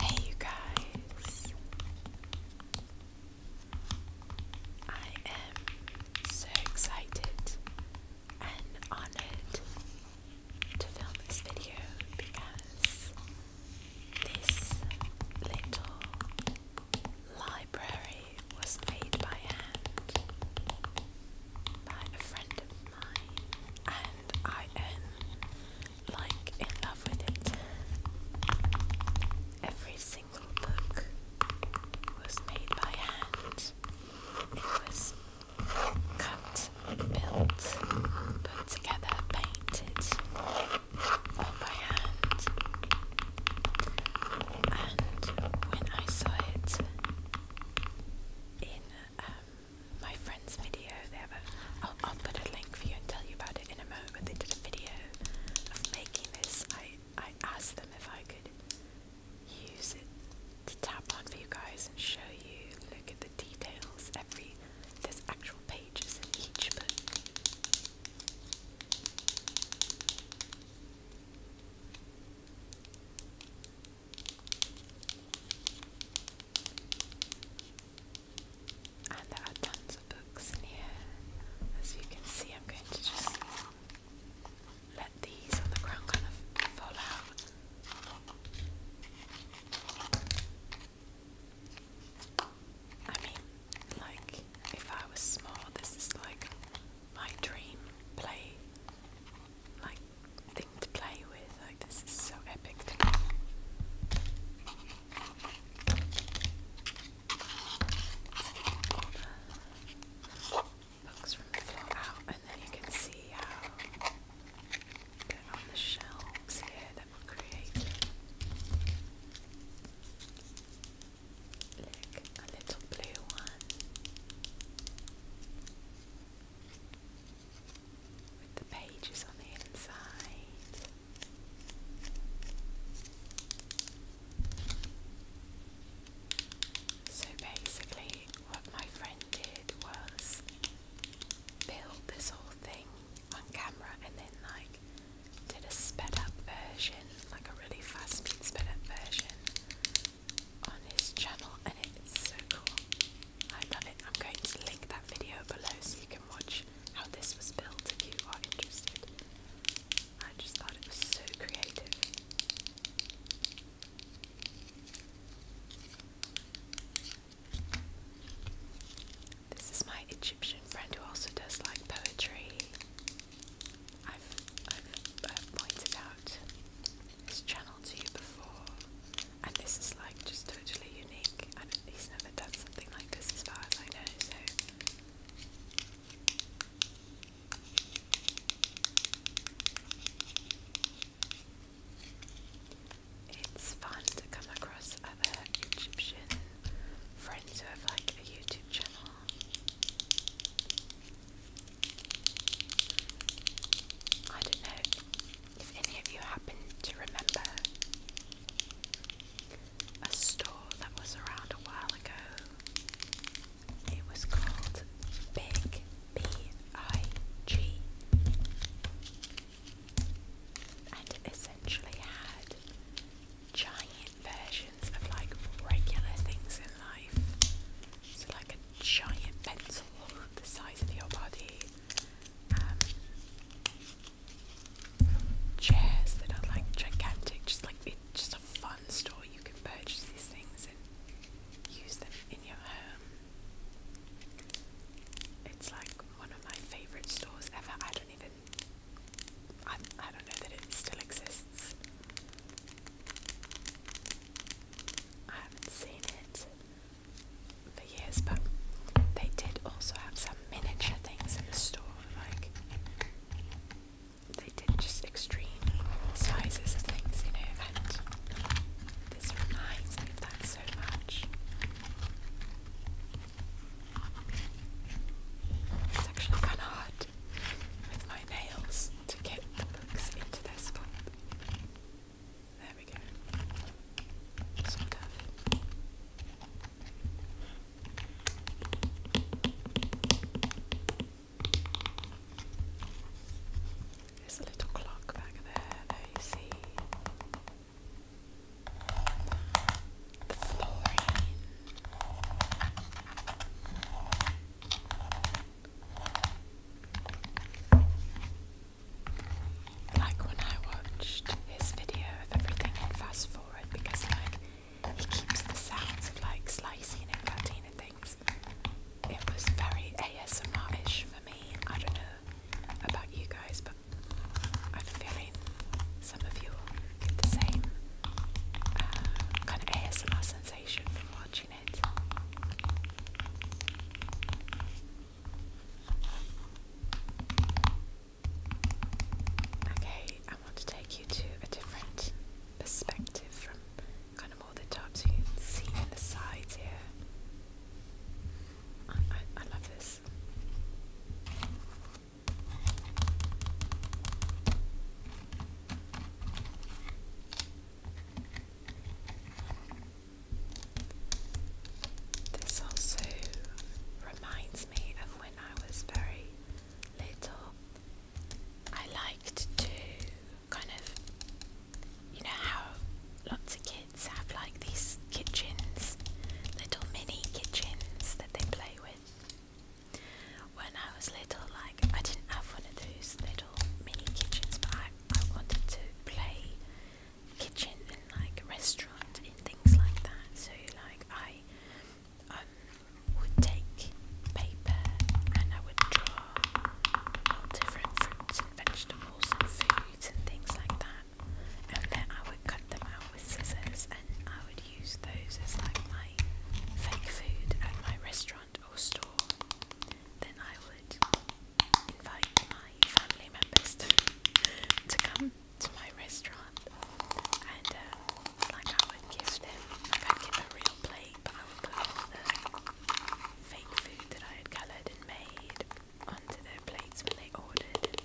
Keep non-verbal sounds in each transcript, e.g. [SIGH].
Hey, you guys! I am so excited and honored to film this video because this little library was made by hand by a friend of mine, and I am like in love with it. Every single book was made by hand. It was cut, built, put together, painted by hand. And when I saw it, in um, my friend's video. They have a. put a link for you and tell you about it in a moment. they did a video of making this. I I asked them if I could use it to tap on for you guys and show you. Look at the details. Every there's actual pages in each, book. And there are tons of books in here. As you can see, I'm going to just let these on the ground kind of fall out. I mean, like, if I was small, this is like my dream play, like thing to play with. Like this is so epic books from the floor out, and then you can see how they on the shelves here that were created. Look, a little blue one with the pages on the inside. So basically, what my friend did was build this whole thing on camera and then, like, did a sped up version, like a really fast speed sped up version on his channel and it's so cool. I love it. I'm going to link that video below so you can watch how this was built if you are interested. I just thought it was so creative. This is my Egyptian friend who also does like poetry. I've, pointed out his channel to you before, and this is like just totally unique. he's never done something like this, as far as I know. So. It's fun to come across other Egyptian friends who have like a YouTube channel. I don't know if any of you happen to remember a store that was around a while ago. It was called Big B I G and essentially had giant versions of like regular things in life. So, like a giant pencil the size of your body, um, chairs that are like gigantic, just like it's just a fun store. You can purchase these things and use them in your home. It's like one of my favourite stores ever. I don't even I, I don't know that it still exists. I haven't seen it for years, but they did also have some miniature things in the store, like they did just extreme sizes of things, you know, and this reminds me of that so much. It's actually kind of hard with my nails to get the books into their spot. There we go. Sort a little clock back there, there you see. Like when I watched his video of everything and fast forward because like he keeps the sounds of like slicing and cutting and things. It was very ASMR ish for me. I don't know, about you guys, but I have a some of you get the same uh, kind of ASMR sensation from watching it. Okay, I want to take you to a different perspective from kind of all the tops so you can see in the sides here. I, I, love this. This also reminds me of when I was very little. I liked to kind of you know how lots of kids have like these kitchens, little mini kitchens that they play with. When I was little, like I didn't have one of those little mini kitchens, but I, I wanted to play kitchen and like restaurant and things like that. So like I um, would take paper and I would draw all different fruits and vegetables and foods and things like that. And then I would cut them out with scissors and I would use those as like my fake food at my restaurant or store. Then I would invite my family members to, to come to my restaurant and uh, like I would give them, like I'd real plate but I would put all the fake food that I had coloured and made onto their plates when they ordered.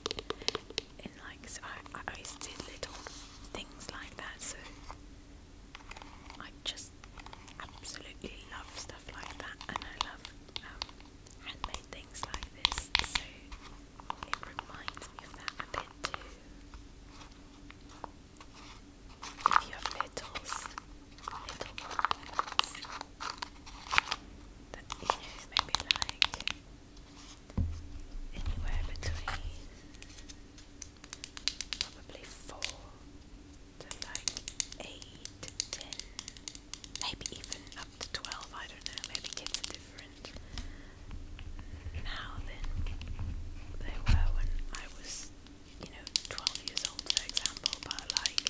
And like, so I, I always did little things like that, so I just absolutely love stuff like that, and I love um, handmade things like this, so it reminds me of that a bit too. If you have littles, little ones maybe like anywhere between probably four to like eight, ten, maybe even up to twelve, I don't know, maybe kids are different now than they were when I was you know, 12 years old, for example, but like,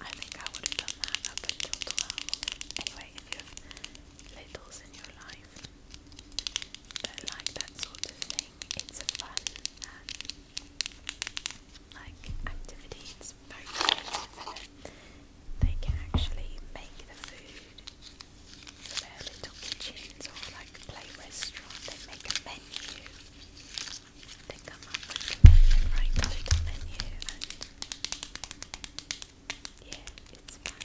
I think I would have done that up until 12. Anyway, if littles in your life that like that sort of thing, it's a fun um, like activity. It's very creative they can actually make the food their little kitchens or like play restaurant, they make a menu. They come up with a menu, write a little menu and yeah, it's fun. My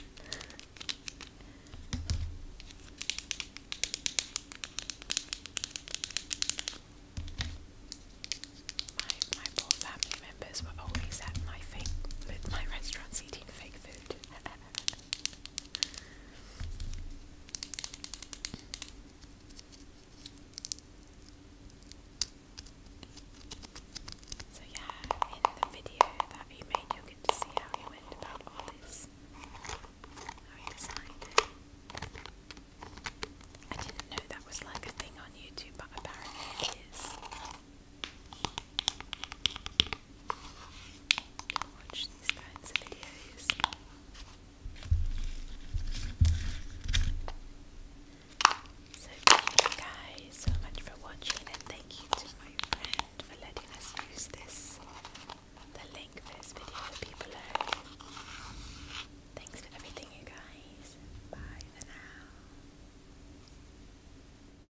my poor family members were always at my fake with my restaurants eating fake food. [LAUGHS] So yeah, in the video that he made, you'll see how he went about all this, I didn't know that was like a thing on YouTube, but apparently it is. So thank you guys so much for watching and thank you to my friend for letting us use this. The link for this video will be Thanks for everything you guys. Bye for now.